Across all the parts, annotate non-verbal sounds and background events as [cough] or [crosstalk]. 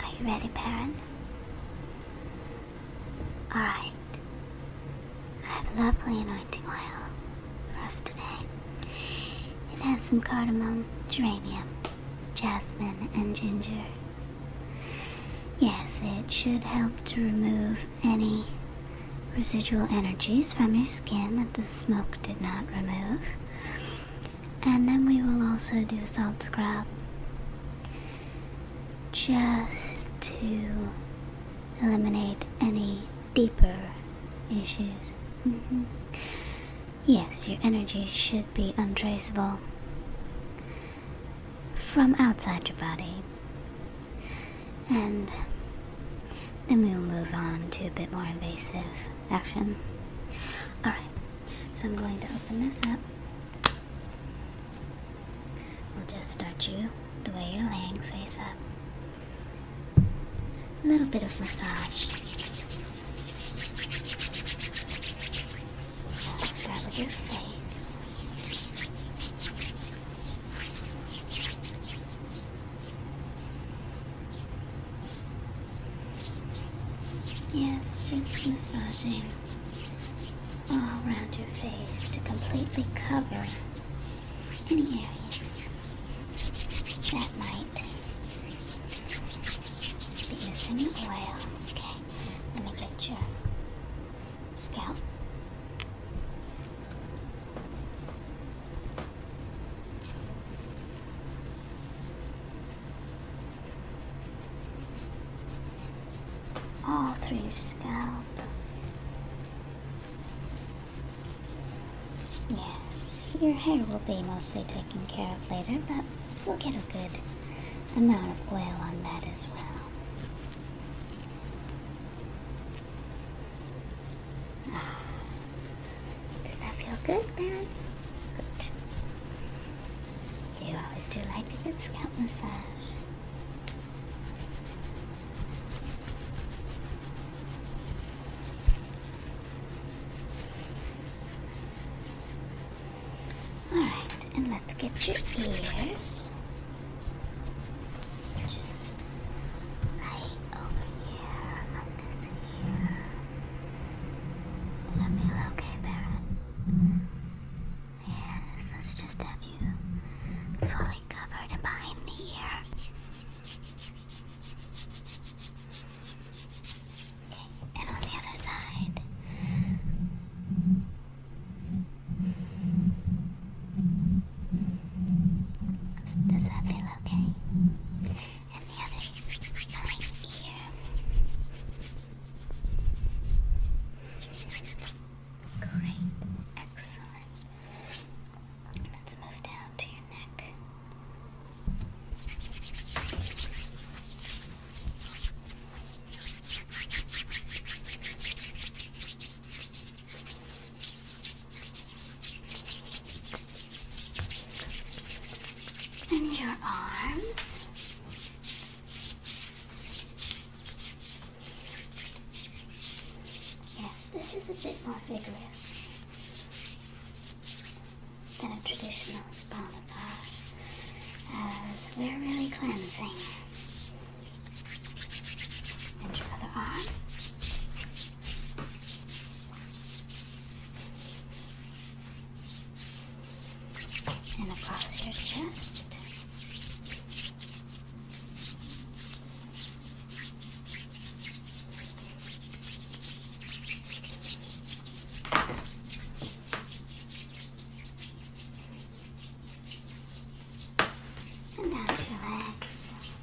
Are you ready, Baron? Alright. I have lovely anointing oil for us today. It has some cardamom, geranium, jasmine, and ginger. Yes, it should help to remove any residual energies from your skin that the smoke did not remove and then we will also do salt scrub just to eliminate any deeper issues. Mm-hmm. Yes, your energy should be untraceable from outside your body. And then we will move on to a bit more invasive action. Alright, so I'm going to open this up. We'll just start you the way you're laying face up. A little bit of massage. start with your face. Yes, just massaging all around your face to completely cover any areas that might be missing oil. Okay, let me get your scalp all through your scalp. Yes, your hair will be mostly taken care of later, but we'll get a good amount of oil on that as well. Does that feel good, Baron? You always do like a good scalp massage. Alright, and let's get your ears. Just right over here on this ear. Does that feel okay, Baron? Yes, let's just have you fully covered and behind the ear. Okay, and on the other side. Does that feel okay? and the other behind Great, excellent. Let's move down to your neck. And your arms. Yes, this is a bit more vigorous than a traditional spa massage, uh, we're really cleansing. And your other arm and across your chest. And out your legs.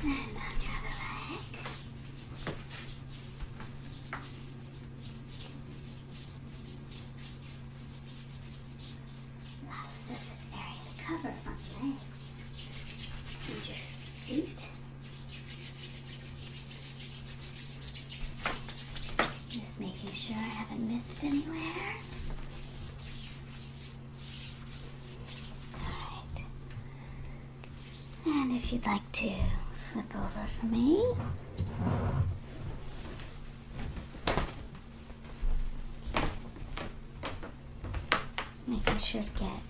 And on your other leg. A of surface area to cover on legs and your feet. Just making sure I haven't missed anywhere. Alright. And if you'd like to flip over for me. Making sure to get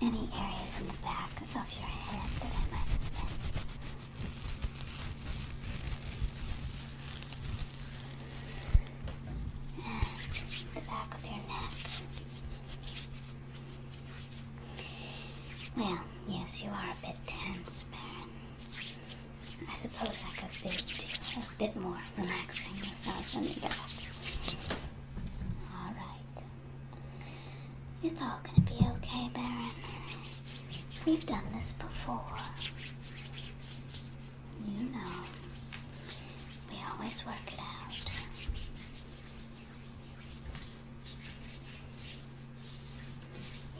any areas in the back of your head that I might have missed. And the back of your neck. Well, yes, you are a bit tense, Baron. I suppose I could be a bit more relaxing massage on the back. All right. It's all gonna be okay, Baron. We've done this before. You know, we always work it out.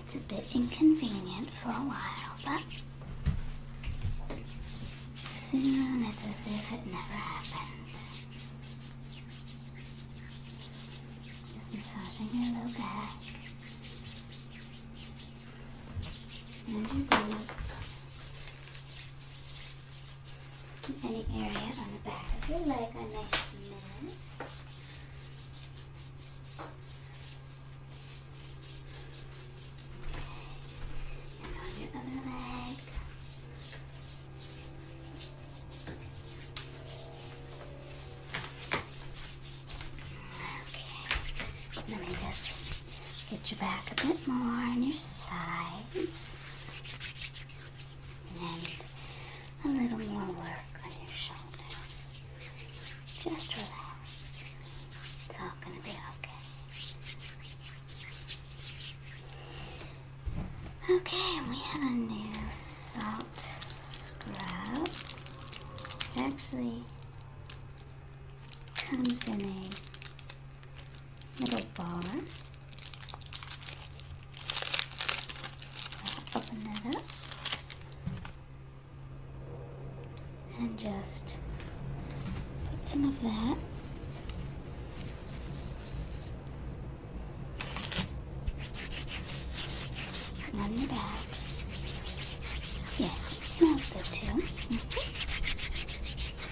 It's a bit inconvenient for a while, but soon it's as if it never happened. Just massaging your low back and your glutes in any area on the back of your leg a nice mess. And on your other leg. Okay. Let me just Get your back a bit more on your sides. And a little more work on your shoulders. Just relax. It's all going to be okay. Okay, we have a new salt scrub. It actually comes in a little bar. Open that up. And just put some of that on the back. Yes, it smells good too. Mm-hmm.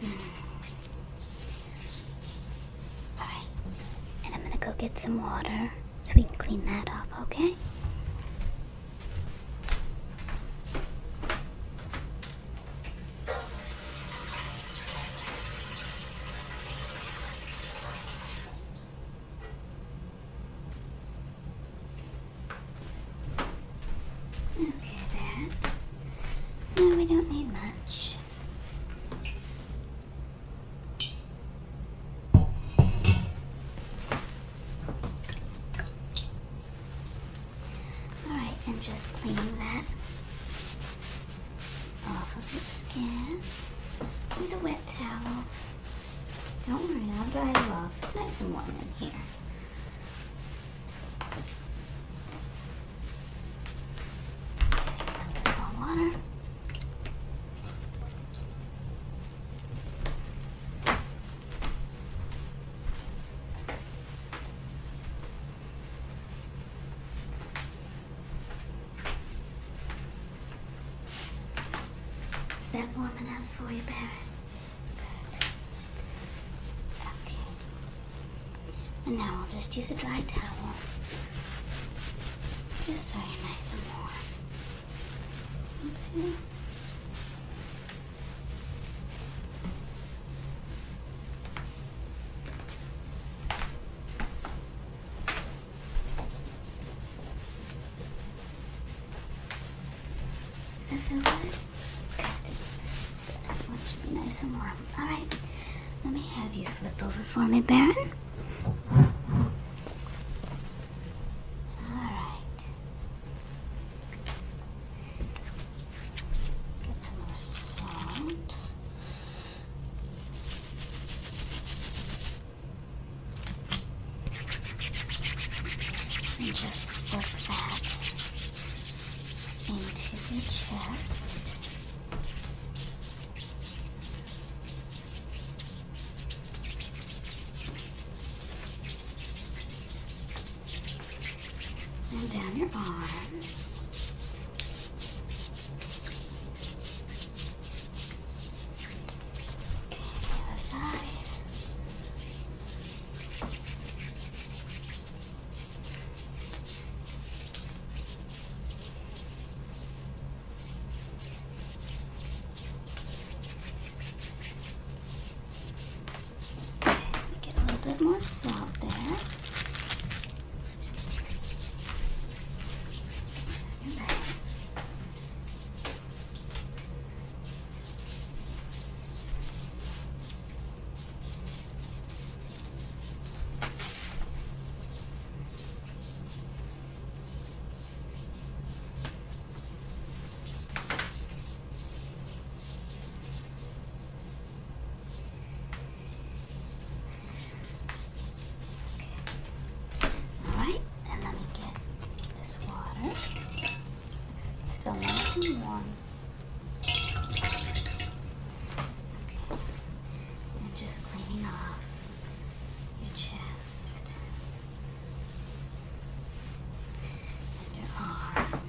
Mm. All right, and I'm gonna go get some water so we can clean that off, okay? Okay, there. No, we don't need much. Alright, and just clean that off of your skin with a wet towel. Don't worry, I'll dry it off. It's nice and warm in here. Water. Is that warm enough for you, Barrett? Okay. And now I'll just use a dry towel. Just so you're nice and warm. Okay. Does that feel good? That should be nice and warm. Alright, let me have you flip over for me, Baron. Alright. Get some more salt. And just put that into the chest and down your arms. Okay, other side. Get a little bit more salt there. Alright, and let me get this water. still nice and warm. Okay. And just cleaning off your chest and your arm.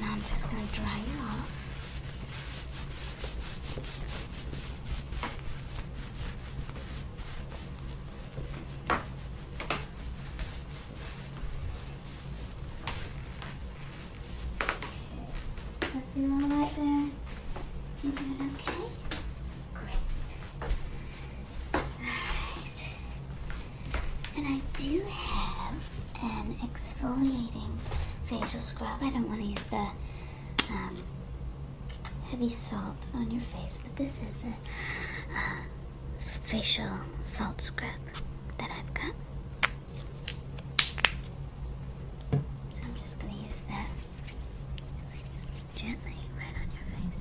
Now I'm just gonna dry it off. Okay. See that there? You doing okay? Great. Alright. And I do have an exfoliating facial scrub. I don't want to use the um, heavy salt on your face, but this is a uh, facial salt scrub that I've got. So I'm just going to use that gently right on your face.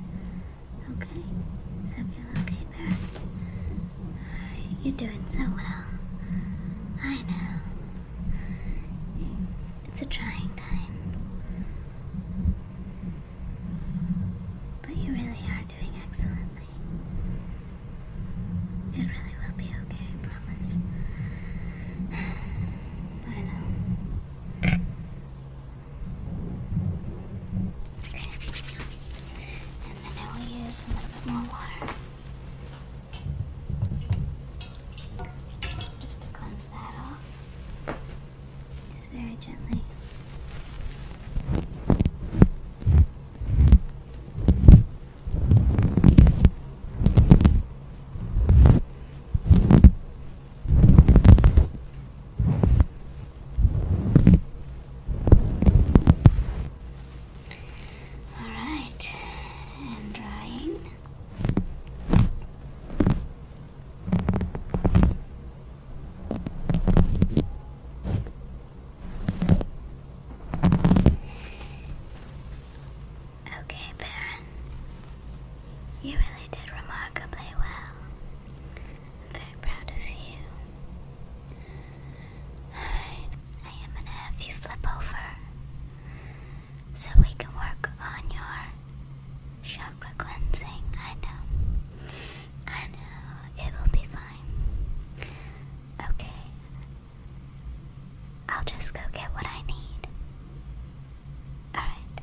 Okay? Does feel okay there? You're doing so well. I know. It's a trying time. But you really are doing excellently. It really will be okay, I promise. [sighs] I know. And then I will use a little bit more water. Just to cleanse that off. Just very gently. All right, and drying. Okay, Baron, you really did remarkably well very proud of you. Alright, I am gonna have you flip over so we can work on your chakra cleansing. I know. I know. It will be fine. Okay. I'll just go get what I need. Alright.